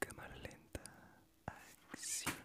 Cámara lenta, acción.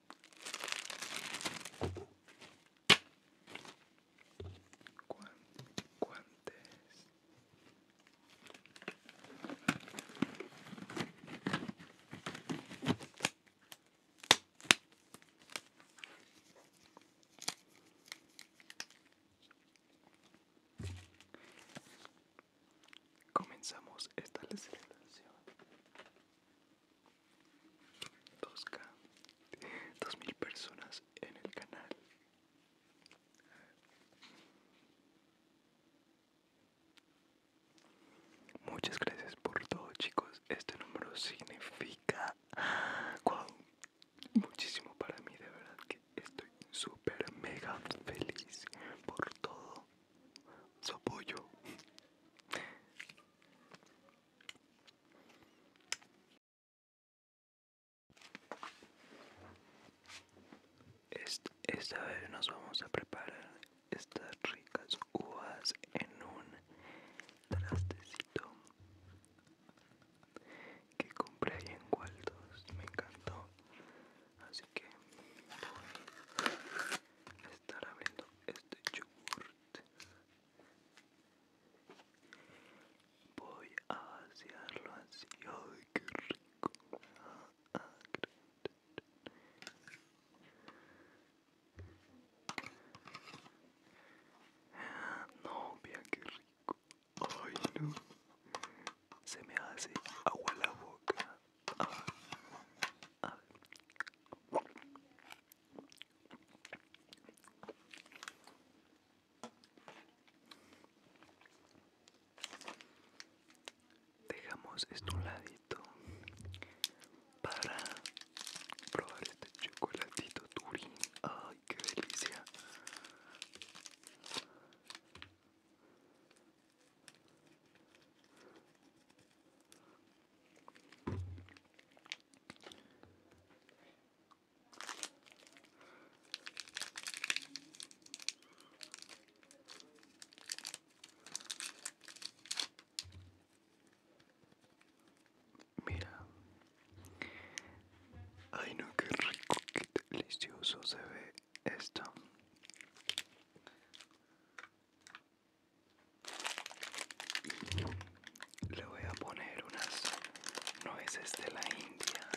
guantes Comenzamos esta celebración 2K, 2000 personas en el canal. Muchas gracias por todo, chicos. Este número significa muchísimo para mí. De verdad que estoy super mega feliz por todo su apoyo. Esta vez nos vamos a preparar estas ricas uvas en un trastecito que compré ahí en Waldos, me encantó, así que estar abriendo este yogurt voy a vaciarlo así ay qué rico no vean qué rico ay no se me hace agua la boca A ver Dejamos esto a un ladito para probar este chocolatito Turín. ¡Ay, qué delicia! Mira, ay no, qué rico, qué delicioso se ve esto. Le voy a poner unas nueces de la India.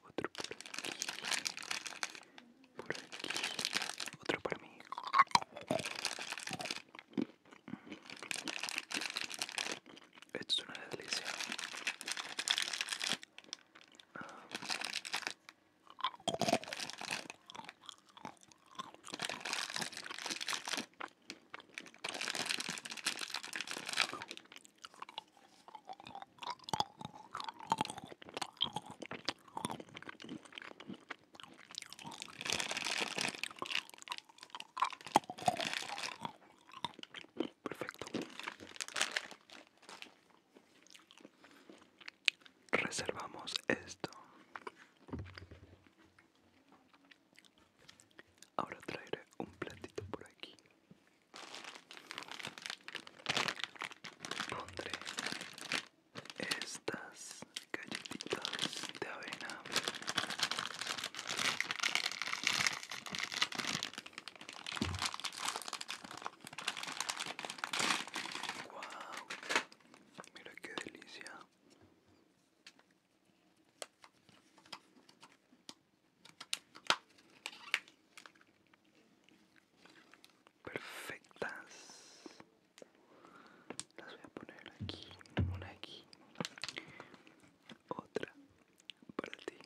Por aquí. Otro por aquí. Por aquí. Otro para mí. Esto es una delicia. Perfecto. Reservamos esto. Ahora traeré un platito por aquí. Pondré estas galletitas de avena wow mira qué delicia perfectas las voy a poner aquí, una aquí, otra para ti,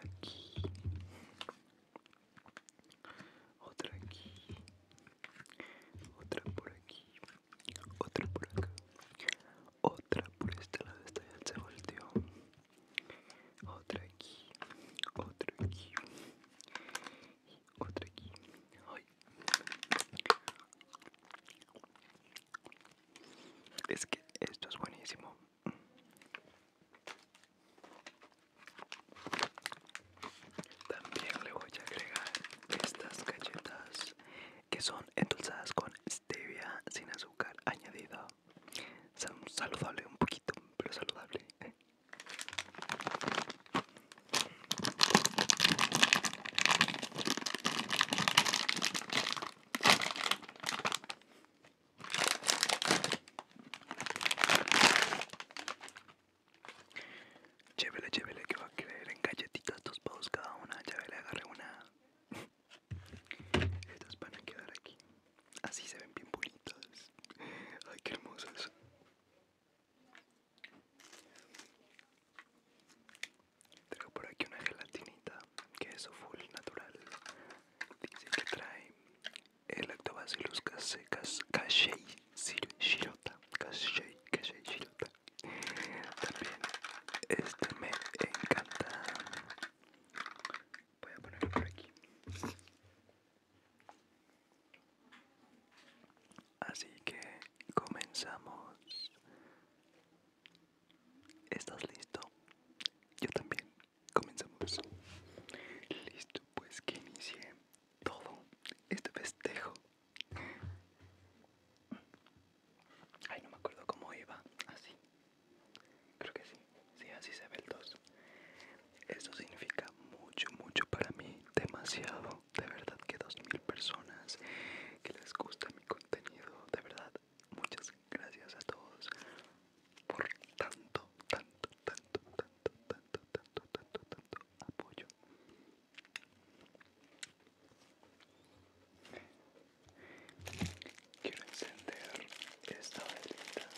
aquí, otra aquí, otra por aquí, otra por acá, otra por este lado, esta ya se volteó, otra aquí, otra aquí. Otra aquí. Es que esto es buenísimo. También le voy a agregar estas galletas que son endulzadas con stevia sin azúcar añadido saludable un poquito, pero saludable. Chévele, llévele que va a creer en galletitas dos podos cada una. Llévele, agarre una. Estas van a quedar aquí. Así se ven bien bonitas. Ay, qué hermosas. Tengo por aquí una gelatinita que es full natural. Dice que trae el lactobacillus casei shirota. Cachey shirota. También este me encanta. Voy a ponerlo por aquí. Así que comenzamos. ¿Estás listo? Yo también. Comenzamos. Listo, pues que inicie todo este festejo. Ay, no me acuerdo cómo iba. Así. Creo que sí. Sí, así se ve el 2. Eso Esto significa mucho, mucho para mí, demasiado. De verdad que 2.000 personas que les gusta mi contenido, de verdad, muchas gracias a todos por tanto, tanto, tanto, tanto, tanto, tanto, tanto, tanto apoyo. Quiero encender esta velita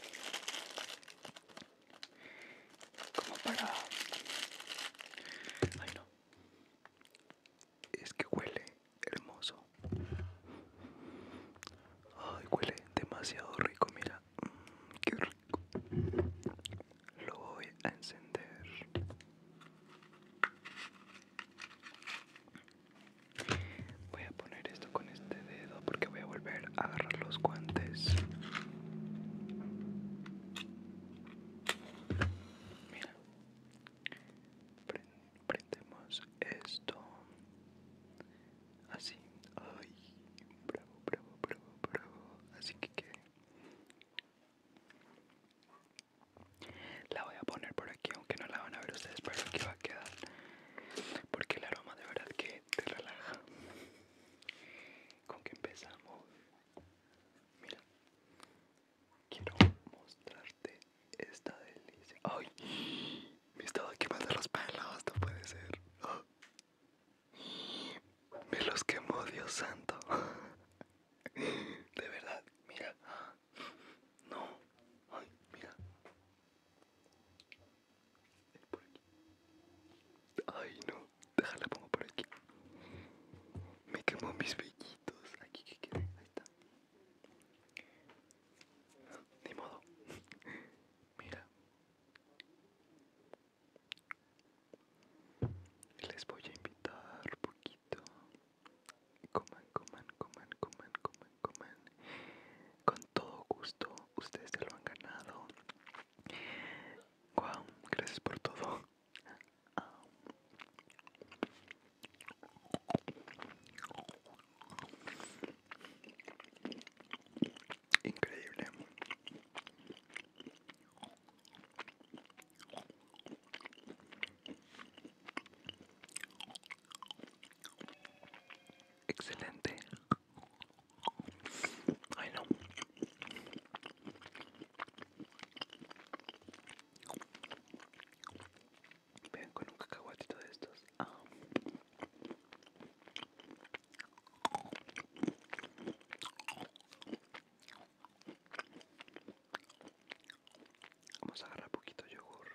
como para ay no es que huele hermoso ay huele demasiado rico mira mm, que rico lo voy a encender voy a poner esto con este dedo porque voy a volver a agarrar los guantes. Mira, prendemos esto así. Ay, bravo, bravo, bravo, bravo. Así que La voy a poner por aquí, aunque no la van a ver ustedes, pero aquí va a quedar. Porque el aroma de verdad que te relaja. ¿Con qué empezamos? Mira, quiero mostrarte esta delicia. ¡Ay! Me estaba quemando los pelos, esto puede ser. Me los quemó, Dios santo. De verdad, mira. No. Ay, mira. Ay, no. Déjala, pongo por aquí. Me quemó mis vellitos. Aquí que quede. Ahí está. Ni modo. Mira. Les voy a invitar un poquito. Coman, coman, coman, coman, coman, coman. Con todo gusto. Ustedes se lo han ganado. Wow, gracias por todo. Increíble. Excelente. Ay, no con un cacahuatito de estos. Ah. Vamos a agarrar poquito yogur.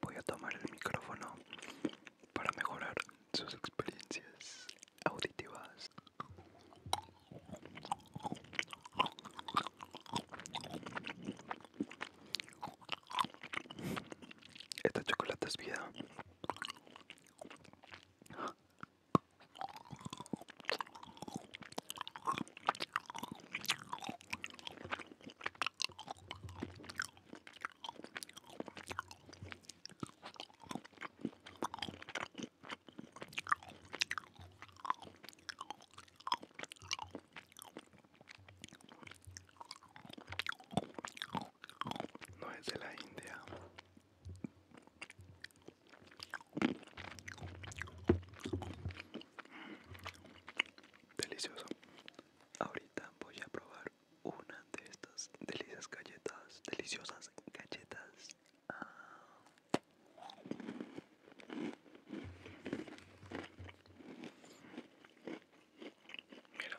Voy a tomar el micrófono para mejorar sus experiencias auditivas. Esta chocolate es vida. No es de la India, Delicioso. Ahorita voy a probar una de estas deliciosas galletas, deliciosas galletas. Ah. Mira.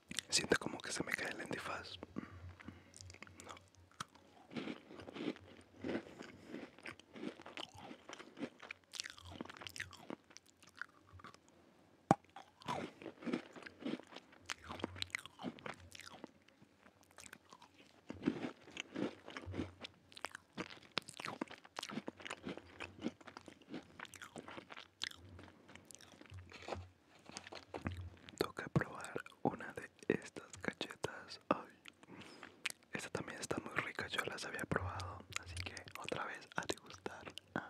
Siento como que se me cae el antifaz. No. Toca probar una de estas cachetas esta también está muy rica, yo las había probado, así que otra vez a degustar. Ah.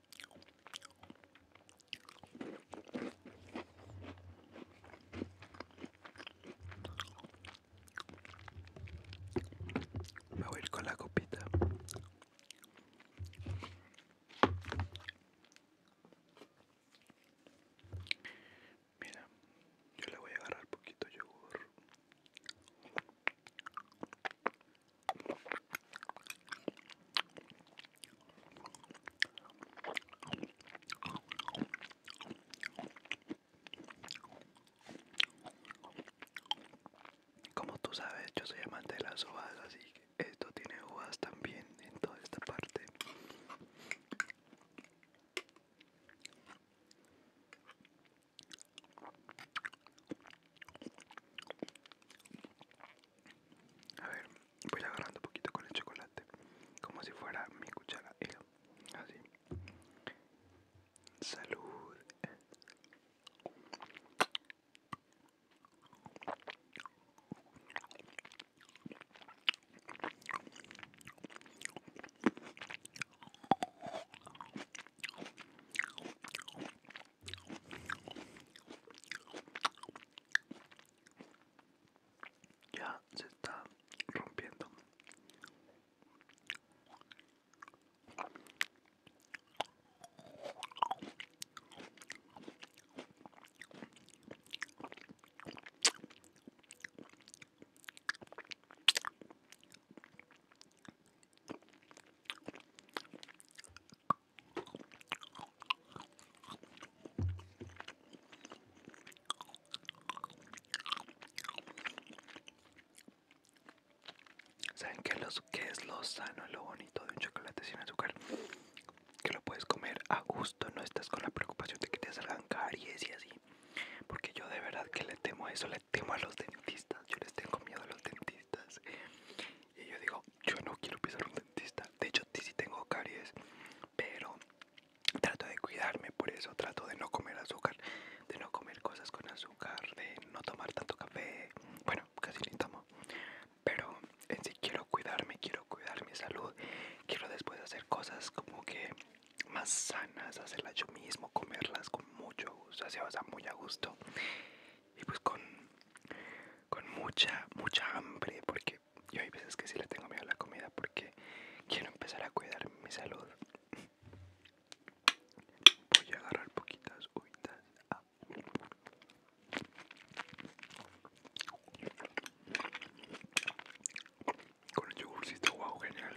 Me voy a ir con la copita. Mira, yo le voy a agarrar poquito yogur. Como tú sabes, yo soy amante de las hojas, así que esto tiene uvas también en toda esta parte. A ver, voy agarrando un poquito con el chocolate, como si fuera mi cuchara. Así. Salud. Ya se está rompiendo. ¿Saben qué, es lo sano lo bonito de un chocolate sin azúcar? Que lo puedes comer a gusto, no estás con la preocupación de que te salgan caries y así. Porque yo de verdad que le temo a eso, le temo a los dentistas. Yo les tengo miedo a los dentistas. Y yo digo, yo no quiero pisar un dentista. De hecho, sí tengo caries, pero trato de cuidarme, por eso trato de no comer azúcar, de no comer cosas con azúcar, de no tomar tanto café. Bueno, casi ni tomo. Pero en sí quiero cuidarme, quiero cuidar mi salud. Quiero después hacer cosas como que más sanas, hacerlas yo mismo, comerlas con mucho gusto, así vas a muy a gusto. Y pues con con mucha, mucha hambre, porque yo hay veces que sí le tengo miedo a la comida porque quiero empezar a cuidar mi salud. Voy a agarrar poquitas uvitas Con el yogurcito, wow, genial.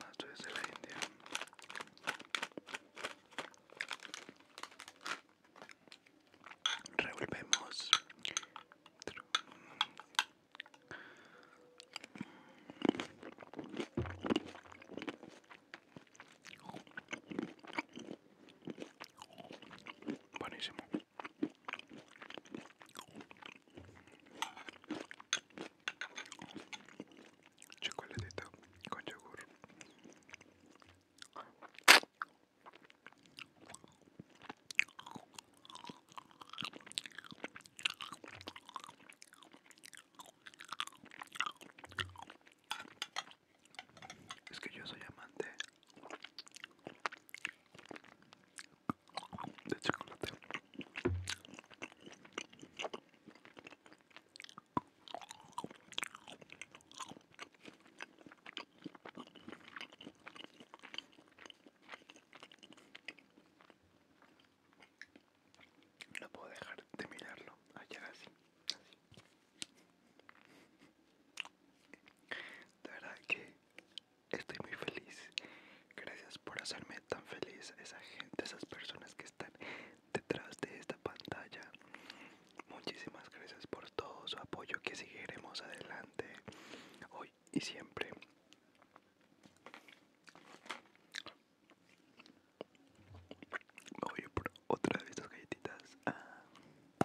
Más desde la India. Revolvemos. Buenísimo. Chocolatito con yogur. Es que yo soy amante de chocolate no puedo dejar de mirarlo Allá así así de verdad que estoy muy feliz. Gracias por hacerme tan feliz. Esa gente, esas personas que están detrás de esta pantalla. Muchísimas gracias por todo su apoyo que seguiremos adelante hoy y siempre. Voy por otra de estas galletitas. Ah.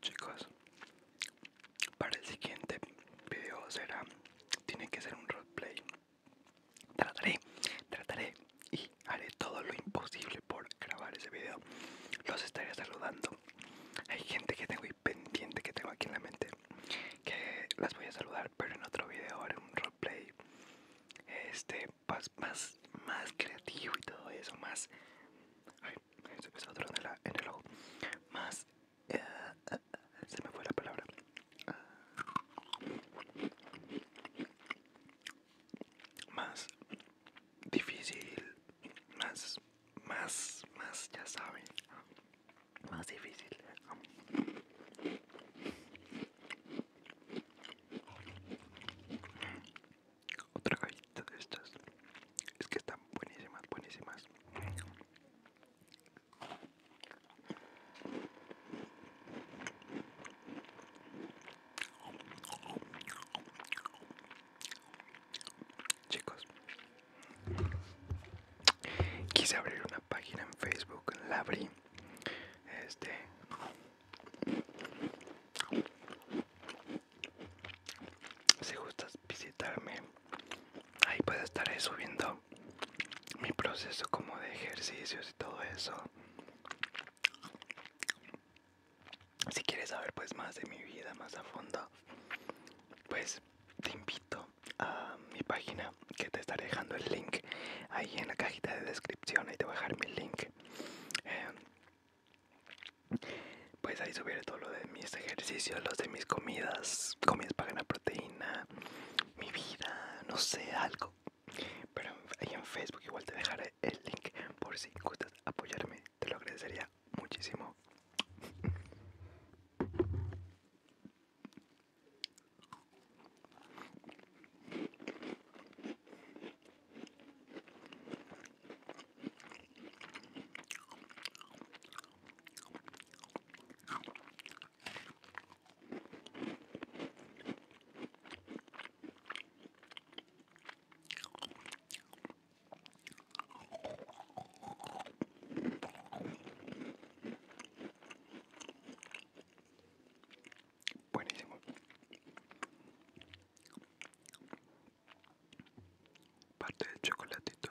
Chicos, para el siguiente video será, tiene que ser un roleplay Trataré, trataré y haré todo lo imposible por grabar ese video. Los estaré saludando. Hay gente que tengo y pendiente que tengo aquí en la mente que las voy a saludar, pero en otro video haré un roleplay este más, más, más creativo y todo eso, más. Ay, se me Más. Eh, eh, se me fue la palabra más difícil, más, más, más, ya saben, más difícil. Otra galleta de estas. Es que están buenísimas, buenísimas. Chicos, quise abrir una página en Facebook, la abrí. Este si gustas visitarme, ahí puede estar eh, subiendo mi proceso como de ejercicios y todo eso. Si quieres saber pues más de mi vida más a fondo, pues te invito a mi página que te estaré dejando el link ahí en la cajita de descripción, ahí te voy a dejar mi link. Eh, pues ahí subiré todo lo de mis ejercicios, los de mis comidas, comidas para ganar proteína, mi vida, no sé, algo pero ahí en Facebook igual te dejaré el link por si gustas apoyarme, te lo agradecería muchísimo. Buenísimo. Parte del chocolatito.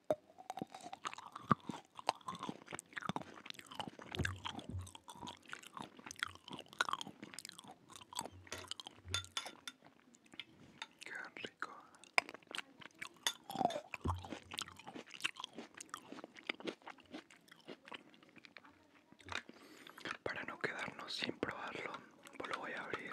Qué rico. Para no quedarnos sin probarlo, lo voy a abrir.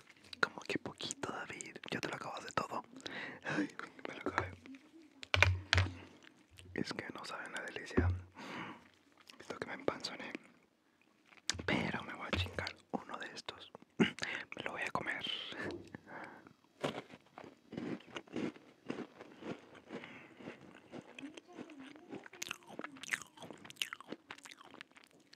Como que poquito, David. Ya te lo acabas de todo. Ay, me lo acabé. Es que no saben la delicia. Esto que me empanzoné. Pero me voy a chingar uno de estos. Me lo voy a comer.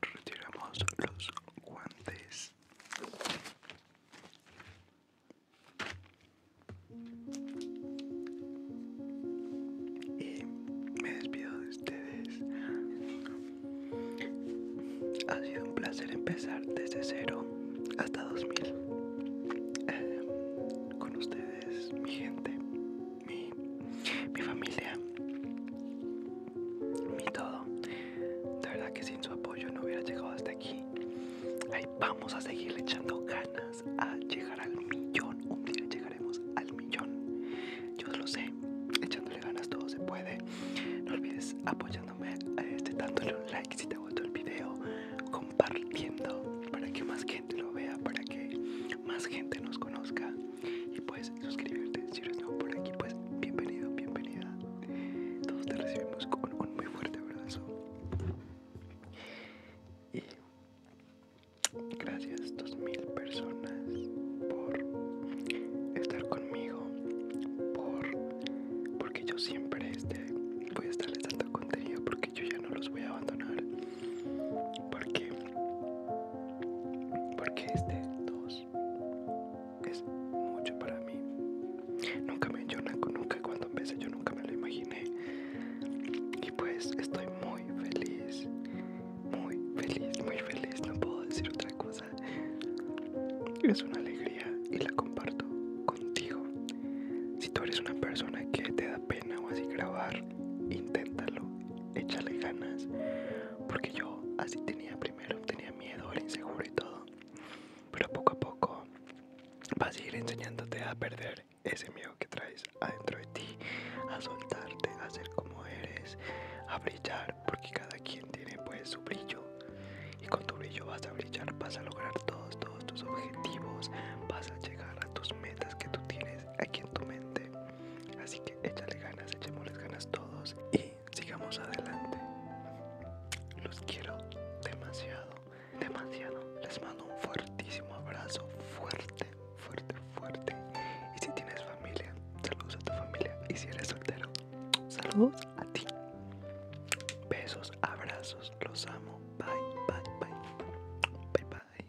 Retiramos los guantes. Y me despido de ustedes. Ha sido un placer empezar desde cero hasta 2000 eh, con ustedes, mi gente, mi, mi familia mi todo. De verdad que sin su apoyo no hubiera llegado hasta aquí. Ahí vamos a seguir echando ganas a llegar al millón. Un día llegaremos al millón. Yo lo sé. Echándole ganas todo se puede. No olvides apoyándome, eh, este, dándole un like si te gustó el video, compartiendo para que más gente lo vea, para que más gente nos conozca y puedes suscribirte si eres nuevo por aquí pues bienvenido bienvenida todos te recibimos con un muy fuerte abrazo y gracias 2000 personas por estar conmigo por porque yo siempre este, voy a estarles dando contenido porque yo ya no los voy a abandonar porque porque este dos es mucho para mí. Nunca me, yo nunca cuando empecé yo nunca me lo imaginé. Y pues estoy muy feliz. Muy feliz, muy feliz. No puedo decir otra cosa. Es una alegría y la comparto contigo. Si tú eres una persona que te da pena o así grabar, inténtalo. Échale ganas. Porque yo así tenía primero tenía miedo, era inseguro y todo. Pero poco a poco vas a ir enseñándote a perder ese miedo que traes adentro de ti, a soltarte, a ser como eres, a brillar, porque cada quien tiene pues su brillo. Y con tu brillo vas a brillar, vas a lograr todos, todos tus objetivos, vas a llegar a tus metas que tú tienes aquí en tu mente. Así que échale ganas, echemos las ganas todos. Y sigamos adelante. Los quiero demasiado, demasiado. Les mando un fuertísimo abrazo, fuerte, fuerte, fuerte. Y si tienes familia, saludos a tu familia. Y si eres soltero, saludos a ti. Besos, abrazos, los amo. Bye, bye, bye. Bye, bye.